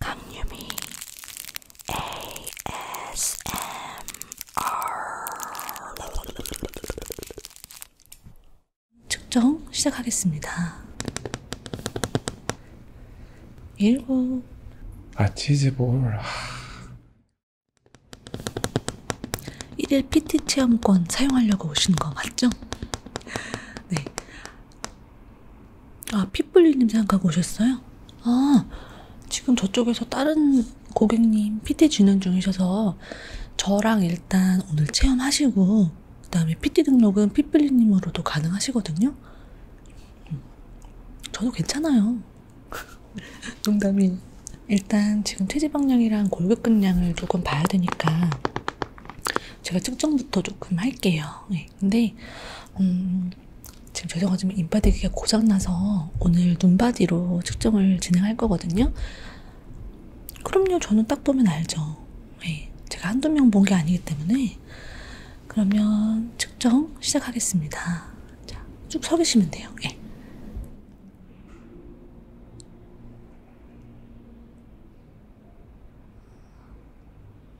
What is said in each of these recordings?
강유미 ASMR 측정 시작하겠습니다. 1번 아 치즈볼 1일 PT 체험권 사용하려고 오신 거 맞죠? 네. 아, 피플리님 생각하고 오셨어요? 아, 지금 저쪽에서 다른 고객님 PT 진행 중이셔서 저랑 일단 오늘 체험하시고, 그 다음에 PT 등록은 피플리님으로도 가능하시거든요? 음, 저도 괜찮아요. 농담이 일단 지금 체지방량이랑 골격근량을 조금 봐야 되니까 제가 측정부터 조금 할게요. 네, 근데 음, 지금 죄송하지만 인바디기가 고장나서 오늘 눈바디로 측정을 진행할 거거든요. 그럼요, 저는 딱 보면 알죠. 네, 제가 한두 명 본 게 아니기 때문에 그러면 측정 시작하겠습니다. 자, 쭉 서 계시면 돼요. 네.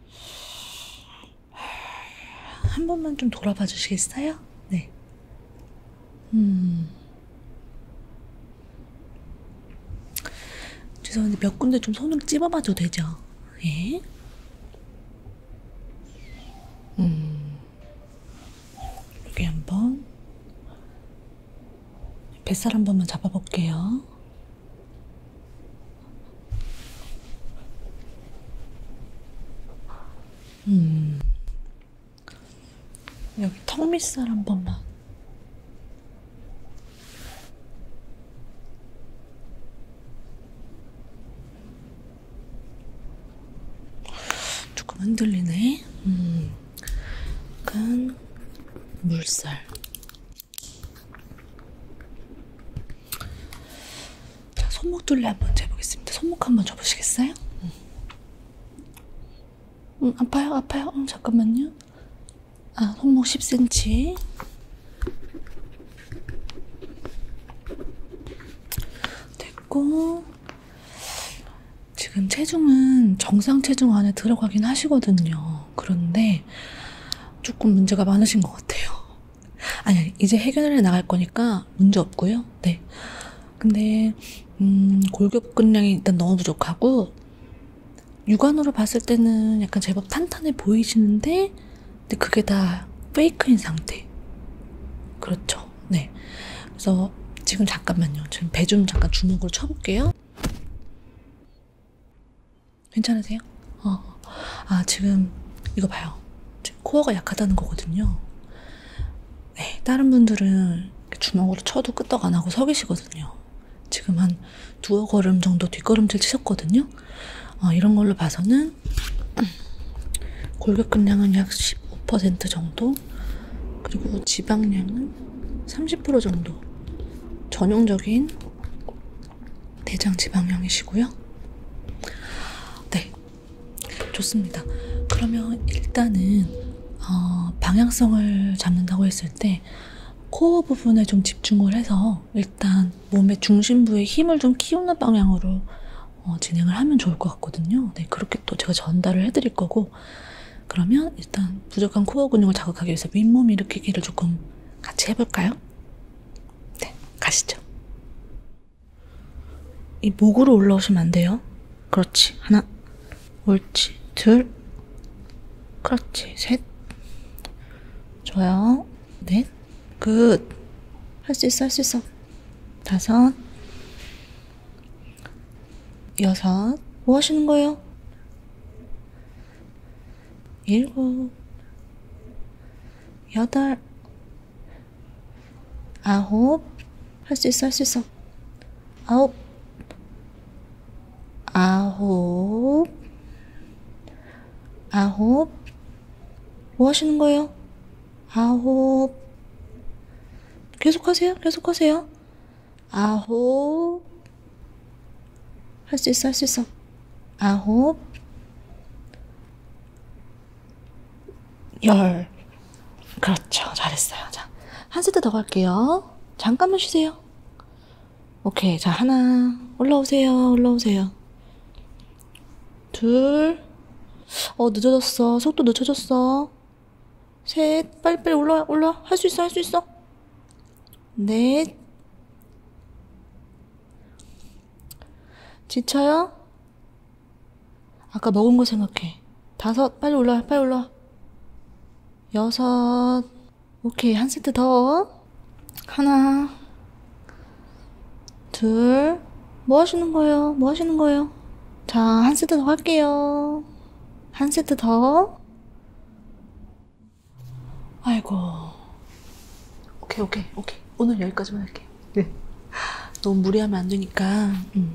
한 번만 좀 돌아봐 주시겠어요? 네. 음. 죄송한데 몇 군데 좀 손으로 찝어봐도 되죠? 예? 음. 여기 한 번. 뱃살 한 번만 잡아볼게요. 음. 여기 턱밑살 한 번만. 조금 흔들리네. 음. 약간 물살. 자, 손목 둘레 한번 재보겠습니다. 손목 한번 접으시겠어요? 응. 응, 아파요, 아파요. 응, 잠깐만요. 아, 손목 10cm. 됐고. 지금 체중은 정상 체중 안에 들어가긴 하시거든요. 어, 그런데 조금 문제가 많으신 것 같아요. 아니, 이제 해결해 나갈 거니까 문제 없고요. 네. 근데, 음, 골격근량이 일단 너무 부족하고, 육안으로 봤을 때는 약간 제법 탄탄해 보이시는데, 근데 그게 다 페이크인 상태. 그렇죠. 네. 그래서 지금 잠깐만요. 지금 배 좀 잠깐 주먹으로 쳐볼게요. 괜찮으세요? 어. 아, 지금 이거 봐요. 지금 코어가 약하다는 거거든요. 네, 다른 분들은 주먹으로 쳐도 끄떡 안 하고 서 계시거든요. 지금 한 두어 걸음 정도 뒷걸음질 치셨거든요. 어, 이런 걸로 봐서는 골격근량은 약 15% 정도, 그리고 지방량은 30% 정도 전형적인 대장 지방형이시고요. 네, 좋습니다. 그러면 일단은 어, 방향성을 잡는다고 했을 때 코어 부분에 좀 집중을 해서 일단 몸의 중심부에 힘을 좀 키우는 방향으로 어, 진행을 하면 좋을 것 같거든요. 네, 그렇게 또 제가 전달을 해드릴 거고 그러면 일단 부족한 코어 근육을 자극하기 위해서 윗몸 일으키기를 조금 같이 해볼까요? 네, 가시죠. 이 목으로 올라오시면 안 돼요. 그렇지. 하나, 옳지. 둘, 그렇지. 셋, 좋아요. 넷, 굿. 할 수 있어, 할 수 있어. 다섯, 여섯, 뭐 하시는 거예요? 일곱, 여덟, 아홉, 할 수 있어, 할 수 있어. 아홉, 아홉, 아홉, 뭐 하시는 거예요? 아홉, 계속하세요, 계속하세요. 아홉 할 수 있어 할 수 있어 아홉 열 그렇죠 잘했어요 자, 한 세트 더 갈게요 잠깐만 쉬세요 오케이 자 하나 올라오세요 올라오세요 둘 어 늦어졌어 속도 늦춰졌어 셋 빨리빨리 올라와 올라와 할 수 있어 할 수 있어 넷 지쳐요? 아까 먹은 거 생각해 다섯 빨리 올라와 빨리 올라와 여섯 오케이 한 세트 더 하나 둘 뭐 하시는 거예요 뭐 하시는 거예요 자 한 세트 더 할게요 한 세트 더 아이고. 오케이, 오케이, 오케이. 오늘 여기까지만 할게요. 네. 너무 무리하면 안 되니까, 음.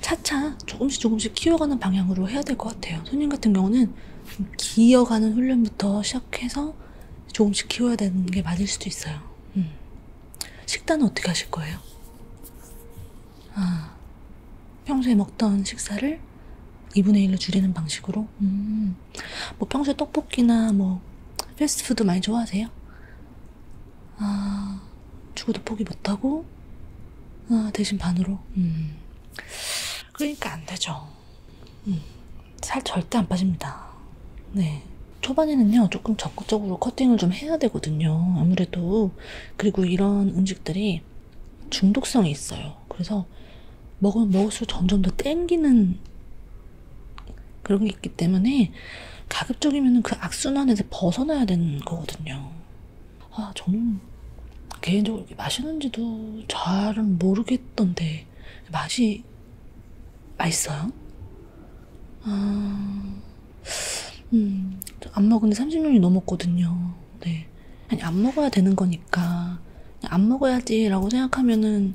차차 조금씩 조금씩 키워가는 방향으로 해야 될 것 같아요. 손님 같은 경우는 기어가는 훈련부터 시작해서 조금씩 키워야 되는 게 맞을 수도 있어요. 음. 식단은 어떻게 하실 거예요? 아, 평소에 먹던 식사를 2분의 1로 줄이는 방식으로? 음, 뭐 평소에 떡볶이나 뭐 패스트푸드 많이 좋아하세요? 아, 죽어도 포기 못하고? 아, 대신 반으로? 음, 그러니까 안 되죠. 음, 살 절대 안 빠집니다. 네. 초반에는요, 조금 적극적으로 커팅을 좀 해야 되거든요. 아무래도 그리고 이런 음식들이 중독성이 있어요. 그래서 먹으면 먹을수록 점점 더 땡기는 그런 게 있기 때문에 가급적이면 그 악순환에서 벗어나야 되는 거거든요. 아, 저는 개인적으로 맛있는지도 잘은 모르겠던데 맛이 맛있어요? 아... 음, 안 먹은 지 30년이 넘었거든요. 네. 아니, 안 먹어야 되는 거니까. 안 먹어야지라고 생각하면은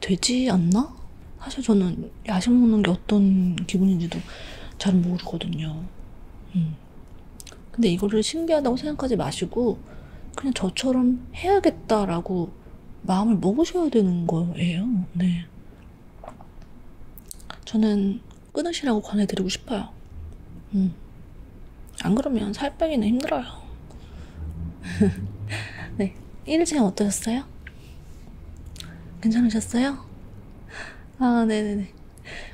되지 않나? 사실 저는 야식 먹는 게 어떤 기분인지도 잘 모르거든요. 음. 근데 이거를 신기하다고 생각하지 마시고, 그냥 저처럼 해야겠다라고 마음을 먹으셔야 되는 거예요. 네. 저는 끊으시라고 권해드리고 싶어요. 음. 안 그러면 살 빼기는 힘들어요. 네. 일주일 어떠셨어요? 괜찮으셨어요? 아, 네네네.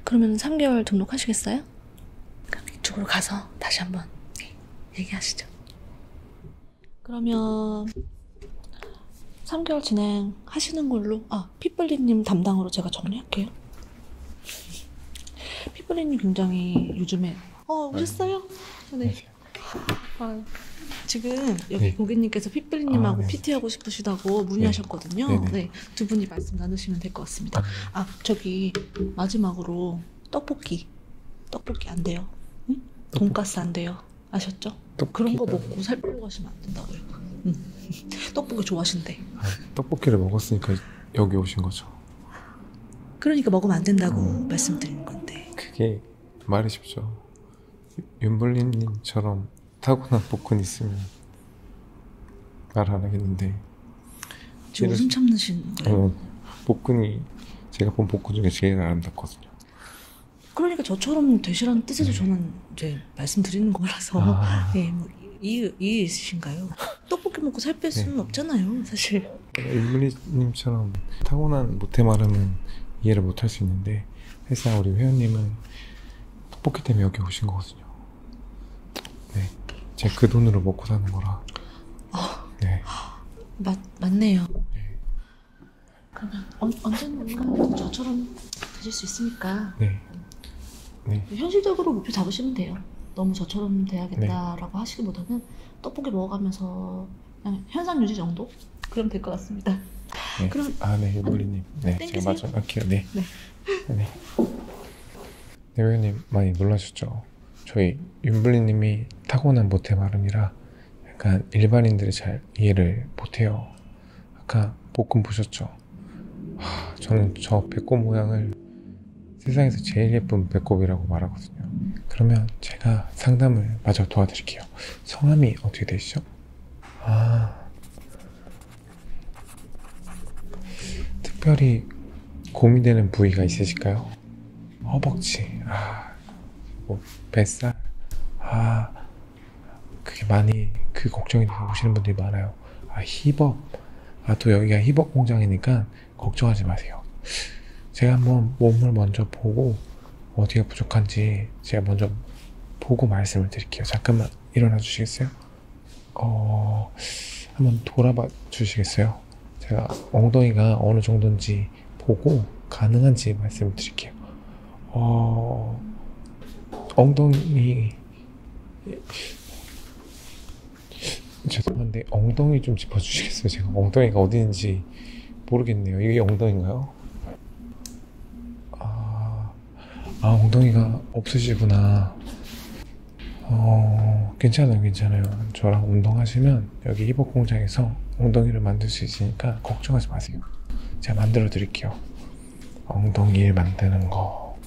그러면 3개월 등록하시겠어요? 그럼 이쪽으로 가서 다시 한번 얘기하시죠. 그러면 3개월 진행하시는 걸로 아 피플리님 담당으로 제가 정리할게요. 피플리님 굉장히 요즘에 어 오셨어요? 네. 네. 아, 지금 여기 네. 고객님께서 피플리님하고 아, 네. PT하고 싶으시다고 문의하셨거든요. 네. 네, 네. 네. 두 분이 말씀 나누시면 될 것 같습니다. 아, 아 저기 마지막으로 떡볶이 떡볶이 안 돼요. 응? 돈까스 안 돼요. 아셨죠? 그런 거 먹고 살 빼고 가시면 안 된다고요. 음. 떡볶이 좋아하신대. 아, 떡볶이를 먹었으니까 여기 오신 거죠. 그러니까 먹으면 안 된다고 음. 말씀드리는 건데. 그게 말이 쉽죠. 윤블린님처럼 타고난 복근 있으면 말 안 하겠는데. 지금 웃음 참으신 어, 거예요? 복근이 제가 본 복근 중에 제일 아름답거든요. 그러니까 저처럼 되시라는 뜻에서 네. 저는 이제 말씀드리는 거라서 아. 네, 뭐 이유, 이유 있으신가요? 떡볶이 먹고 살뺄 네. 수는 네. 없잖아요 사실 네, 일문이님처럼 타고난 모태마름은 이해를 못할 수 있는데 사실상 우리 회원님은 떡볶이 때문에 여기 오신 거거든요 네 제가 그 돈으로 먹고 사는 거라 아. 네 어, 맞, 맞네요 네. 그러면 언, 언젠가 저처럼 되실 수 있으니까 네. 네. 뭐 현실적으로 목표 잡으시면 돼요. 너무 저처럼 돼야겠다라고 네. 하시기보다는 떡볶이 먹어가면서 그냥 현상 유지 정도? 그럼 될 것 같습니다. 네. 그럼 아네 요돌리님 음, 네 제가 맞아 할게요 네. 네. 네. 네. 네 회원님 많이 놀라셨죠? 저희 윤블리님이 타고난 모태 발음이라 약간 그러니까 일반인들이 잘 이해를 못해요. 아까 볶음 보셨죠? 하, 저는 저 배꼽 모양을 세상에서 제일 예쁜 배꼽이라고 말하거든요. 그러면 제가 상담을 마저 도와드릴게요. 성함이 어떻게 되시죠? 아, 특별히 고민되는 부위가 있으실까요? 허벅지, 아, 뭐 뱃살, 아, 그게 많이 그 걱정이 되고 오시는 분들이 많아요. 아, 힙업. 아, 또 여기가 힙업 공장이니까 걱정하지 마세요. 제가 한번 몸을 먼저 보고 어디가 부족한지 제가 먼저 보고 말씀을 드릴게요. 잠깐만 일어나 주시겠어요? 어, 한번 돌아봐 주시겠어요? 제가 엉덩이가 어느 정도인지 보고 가능한지 말씀을 드릴게요. 어, 엉덩이 죄송한데 엉덩이 좀 짚어주시겠어요? 제가 엉덩이가 어디 있는지 모르겠네요. 이게 엉덩인가요? 아, 아 엉덩이가 없으시구나. 어, 괜찮아요, 괜찮아요. 저랑 운동하시면 여기 힙업 공장에서 엉덩이를 만들 수 있으니까 걱정하지 마세요. 말씀하세요. 제가 만들어 드릴게요. 엉덩이를 만드는 거.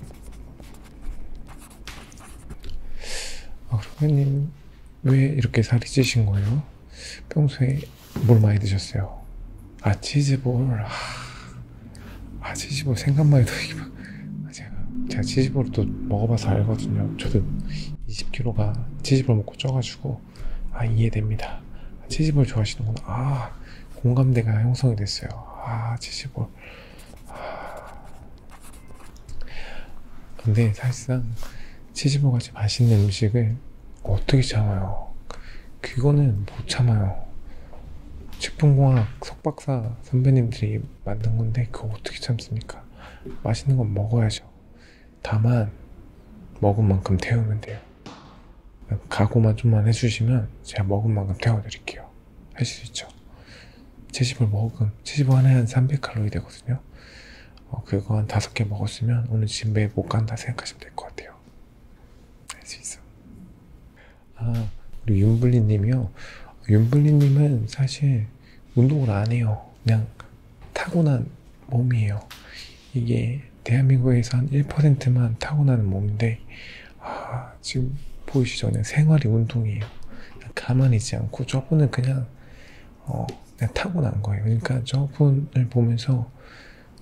아, 그러면님, 왜 이렇게 살이 찌신 거예요? 평소에 뭘 많이 드셨어요? 아, 치즈볼. 아, 아 치즈볼 생각만 해도 이게 막. 아, 제가, 제가 치즈볼을 또 먹어봐서 알거든요. 저도 20kg가 치즈볼 먹고 쪄가지고 아 이해됩니다. 치즈볼 좋아하시는구나. 아 공감대가 형성이 됐어요. 아 치즈볼. 아. 근데 사실상 치즈볼 같이 맛있는 음식을 어떻게 참아요? 그거는 못 참아요. 식품공학 석박사 선배님들이 만든 건데 그거 어떻게 참습니까? 맛있는 건 먹어야죠. 다만 먹은 만큼 태우면 돼요. 각오만 좀만 해주시면 제가 먹은 만큼 태워드릴게요. 할 수 있죠. 채집을 먹음, 채집을 하나에 한 300칼로리 되거든요. 어, 그거 한 다섯 개 먹었으면 오늘 집에 못 간다 생각하시면 될 것 같아요. 할 수 있어. 아, 우리 윤블리님이요. 윤블리님은 사실 운동을 안 해요. 그냥 타고난 몸이에요. 이게 대한민국에서 한 1%만 타고나는 몸인데 아, 지금 보이시죠? 그냥 생활이 운동이에요. 가만히 있지 않고 저분은 그냥 어, 그냥 타고난 거예요. 그러니까 저분을 보면서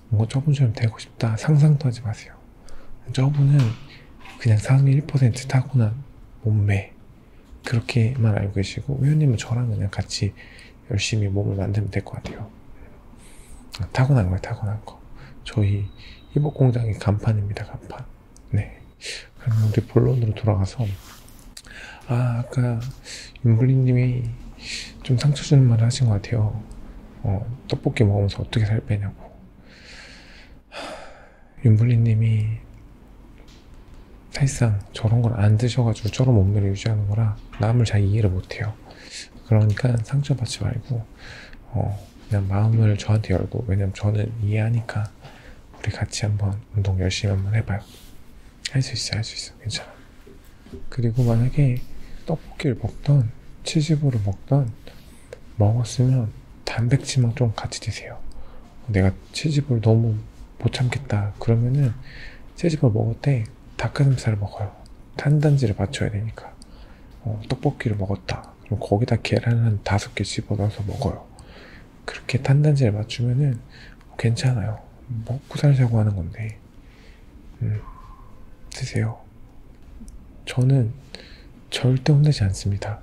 뭔가 저분처럼 되고 싶다 상상도 하지 마세요. 저분은 그냥 상위 1% 타고난 몸매 그렇게만 알고 계시고 회원님은 저랑 그냥 같이 열심히 몸을 만들면 될 것 같아요. 타고난 거예요, 타고난 거. 저희 희복 공장의 간판입니다, 간판. 네. 그러면 우리 본론으로 돌아가서 아, 아까 윤블리님이 좀 상처 주는 말을 하신 것 같아요. 어, 떡볶이 먹으면서 어떻게 살 빼냐고. 윤블리님이 사실상 저런 걸 안 드셔가지고 저런 몸매를 유지하는 거라 남을 잘 이해를 못해요. 그러니까 상처받지 말고 어, 그냥 마음을 저한테 열고 왜냐면 저는 이해하니까 우리 같이 한번 운동 열심히 한번 해봐요. 할 수 있어, 할 수 있어, 괜찮아. 그리고 만약에 떡볶이를 먹던 치즈볼을 먹던 먹었으면 단백질만 좀 같이 드세요. 내가 치즈볼 너무 못 참겠다. 그러면은 채집어 먹을 때 닭가슴살을 먹어요. 탄단지를 맞춰야 되니까. 어, 떡볶이를 먹었다. 그럼 거기다 계란을 한 다섯 개 집어넣어서 먹어요. 그렇게 탄단지를 맞추면은 괜찮아요. 먹고 살자고 하는 건데. 음, 드세요. 저는 절대 혼내지 않습니다.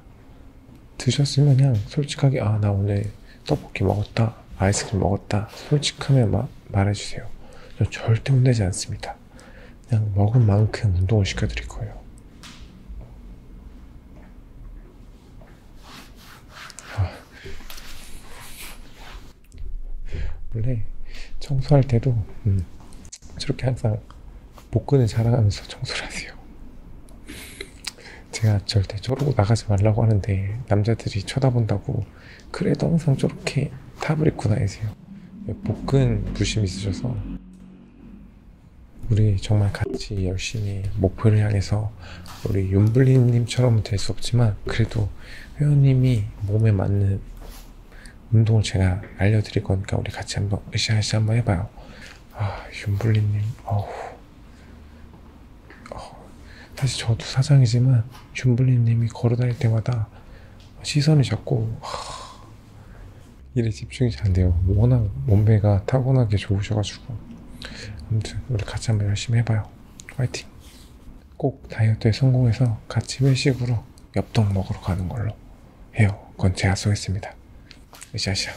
드셨으면 그냥 솔직하게, 아, 나 오늘 떡볶이 먹었다, 아이스크림 먹었다, 솔직하면 마, 말해주세요. 저 절대 혼내지 않습니다. 그냥 먹은 만큼 운동을 시켜드릴 거예요. 아. 원래 청소할 때도 음, 저렇게 항상 복근을 자랑하면서 청소를 하세요. 제가 절대 저러고 나가지 말라고 하는데 남자들이 쳐다본다고 그래도 항상 저렇게 탑을 입고 다니세요 복근 부심 있으셔서 우리 정말 같이 열심히 목표를 향해서 우리 윤블리님처럼은 될수 없지만 그래도 회원님이 몸에 맞는 운동을 제가 알려드릴 거니까 우리 같이 한번 으쌰으쌰 한번 해봐요 아 윤블리님 어우 어, 사실 저도 사장이지만 준블리님이 걸어다닐 때마다 시선이 자꾸 하, 일에 집중이 잘 안 돼요. 뭐 워낙 몸매가 타고나게 좋으셔가지고 아무튼 우리 같이 한번 열심히 해봐요. 화이팅! 꼭 다이어트에 성공해서 같이 회식으로 엽떡 먹으러 가는 걸로 해요. 그건 제가 쏘겠습니다. 으쌰으쌰.